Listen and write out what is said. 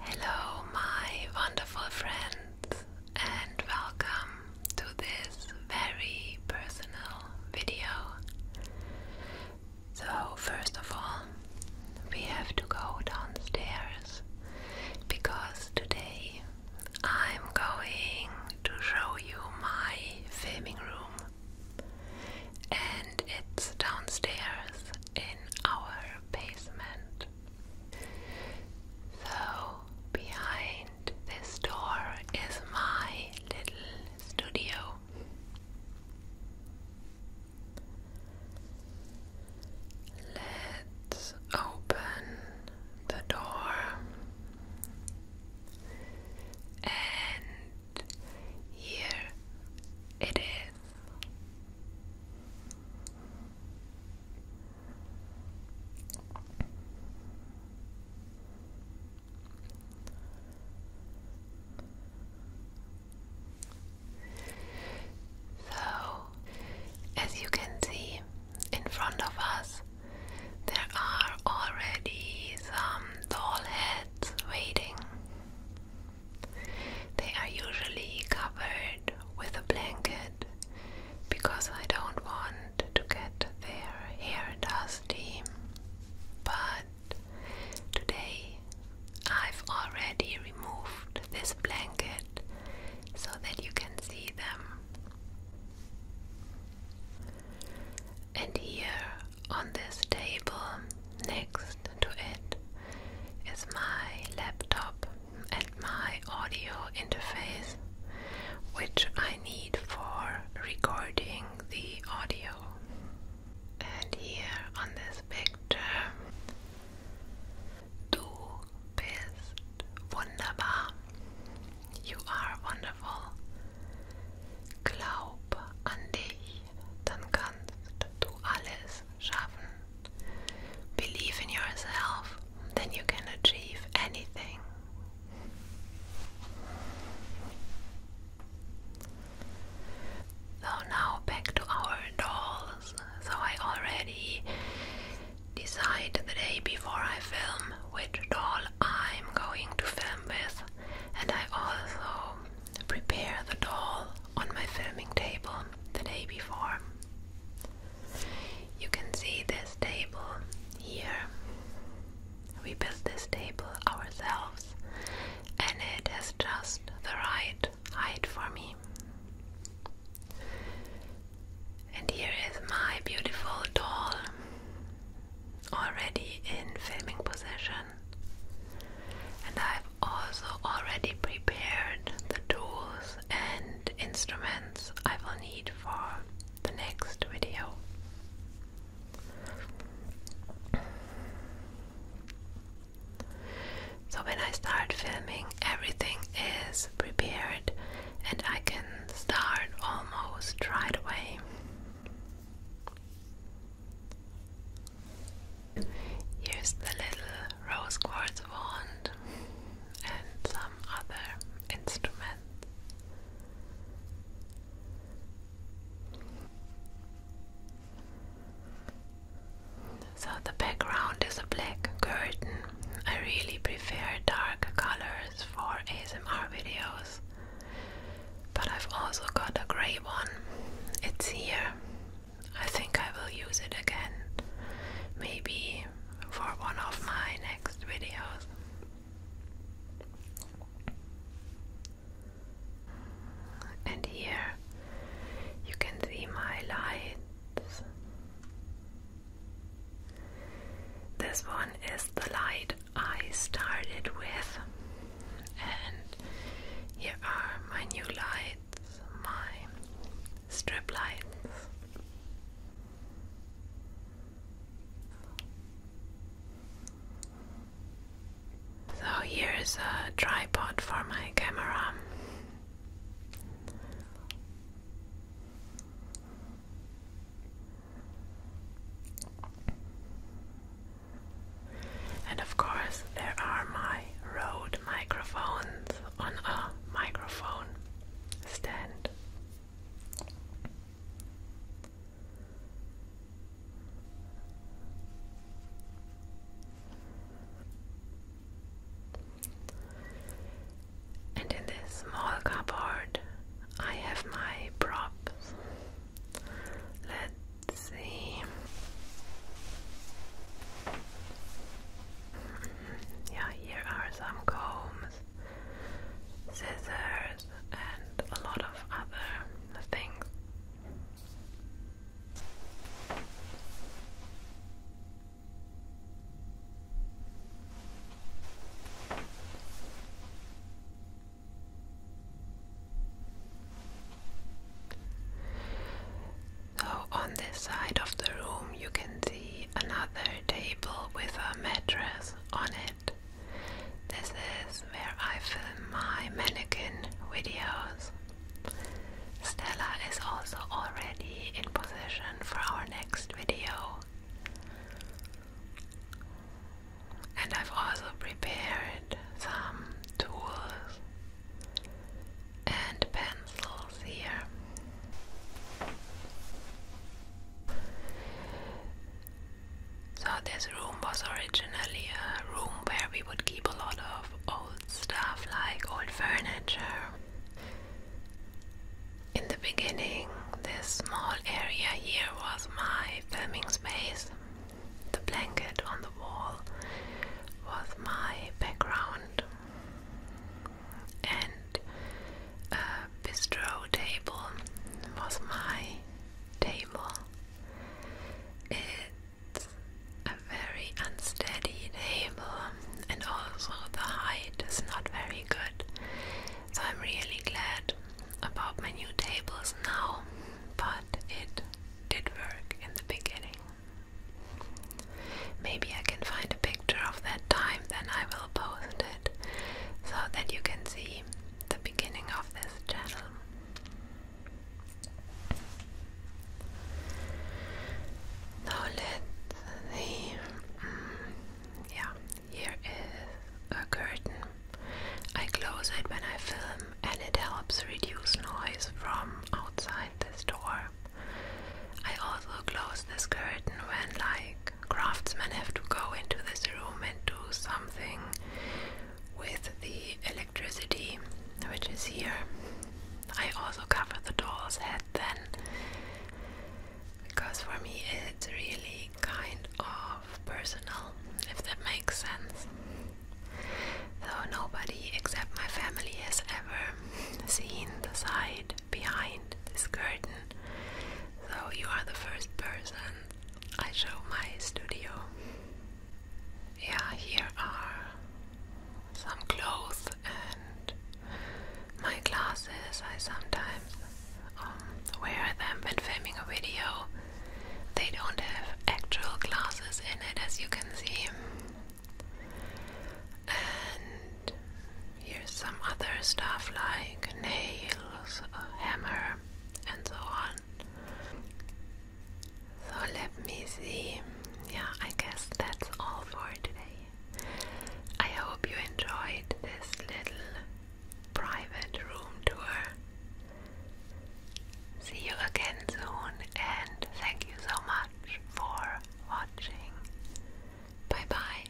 Hello, my wonderful friends, and welcome to this very personal video. So, first of all, we have to go downstairs because today I'm going to show you my filming room, and it's downstairs in our basement. So, behind this door is my little studio. Let's open the door and here it is. So, as you can see in front of us, there are already some doll heads waiting. They are usually covered with a blanket because I don't want to get their hair dusty. But today I've already removed this blanket so that you can see them. And here on this table, next to it, is my laptop and my audio interface, which I need for recording the audio. And here on this picture, du bist wunderbar. You are wonderful. Glaub an dich, dann kannst du alles schaffen. Believe in yourself, then you can achieve anything. So now back to our dolls. So I already decide the day before I film which doll I'm going to film with and I also prepare the doll on my filming table the day before. You can see this table here. We built this table ourselves and it is just the right height for me. And here is my beautiful doll already in filming position, and I've also already prepared the tools and instruments I will need for the next video. So, when I start filming, everything is prepared and I can start almost right away. Use the little rose quartz wand and some other instrument. So the background is a black curtain. I really prefer dark colors for ASMR videos. But I've also got a grey one. It's here. I think I will use it again. Maybe for one of my next videos. And here you can see my lights. This one is the light I started with, and here are my new lights, my strip lights. So here's a tripod for my camera. And of course, there are my Rode microphones on a microphone stand. And in this small cupboard, I have my props. Let's see. Yeah, here are some combs, scissors, and a lot of other things. So, on this side of the room, you can see another table with a mattress on it. This is where I film my mannequin videos. Stella is also already in position for our next video. And I've also prepared some tools and pencils here. So, this room was originally a room where we would keep a lot of old stuff like old furniture. In the beginning, this small area here was my filming space. The blanket on the wall was my background, and a bistro table was my table. It it's a very unsteady table, and also the height is not very good. So I'm really glad about my new tables now, but it did work in the beginning. Maybe I can find a picture of that time, then I will post it so that you can see the beginning of this channel. Now let the mm, yeah here is a curtain. I close it when I film, and it helps reduce noise from outside this door. I also close this curtain when, like, craftsmen have to go into this room and do something with the electricity which is here. I also cover the doll's head then because for me it's really kind of personal, if that makes sense. Though nobody except my family has ever seen the side behind this curtain, so you are the first person I show my studio. Yeah, here are some clothes and my glasses. I sometimes um, wear them when filming a video. They don't have actual glasses in it, as you can see. And here's some other stuff like nails, a hammer, and so on. So let me see. Yeah, I guess that's all for today. I hope you enjoyed this little private room tour. See you again soon, and thank you so much for watching. Bye bye.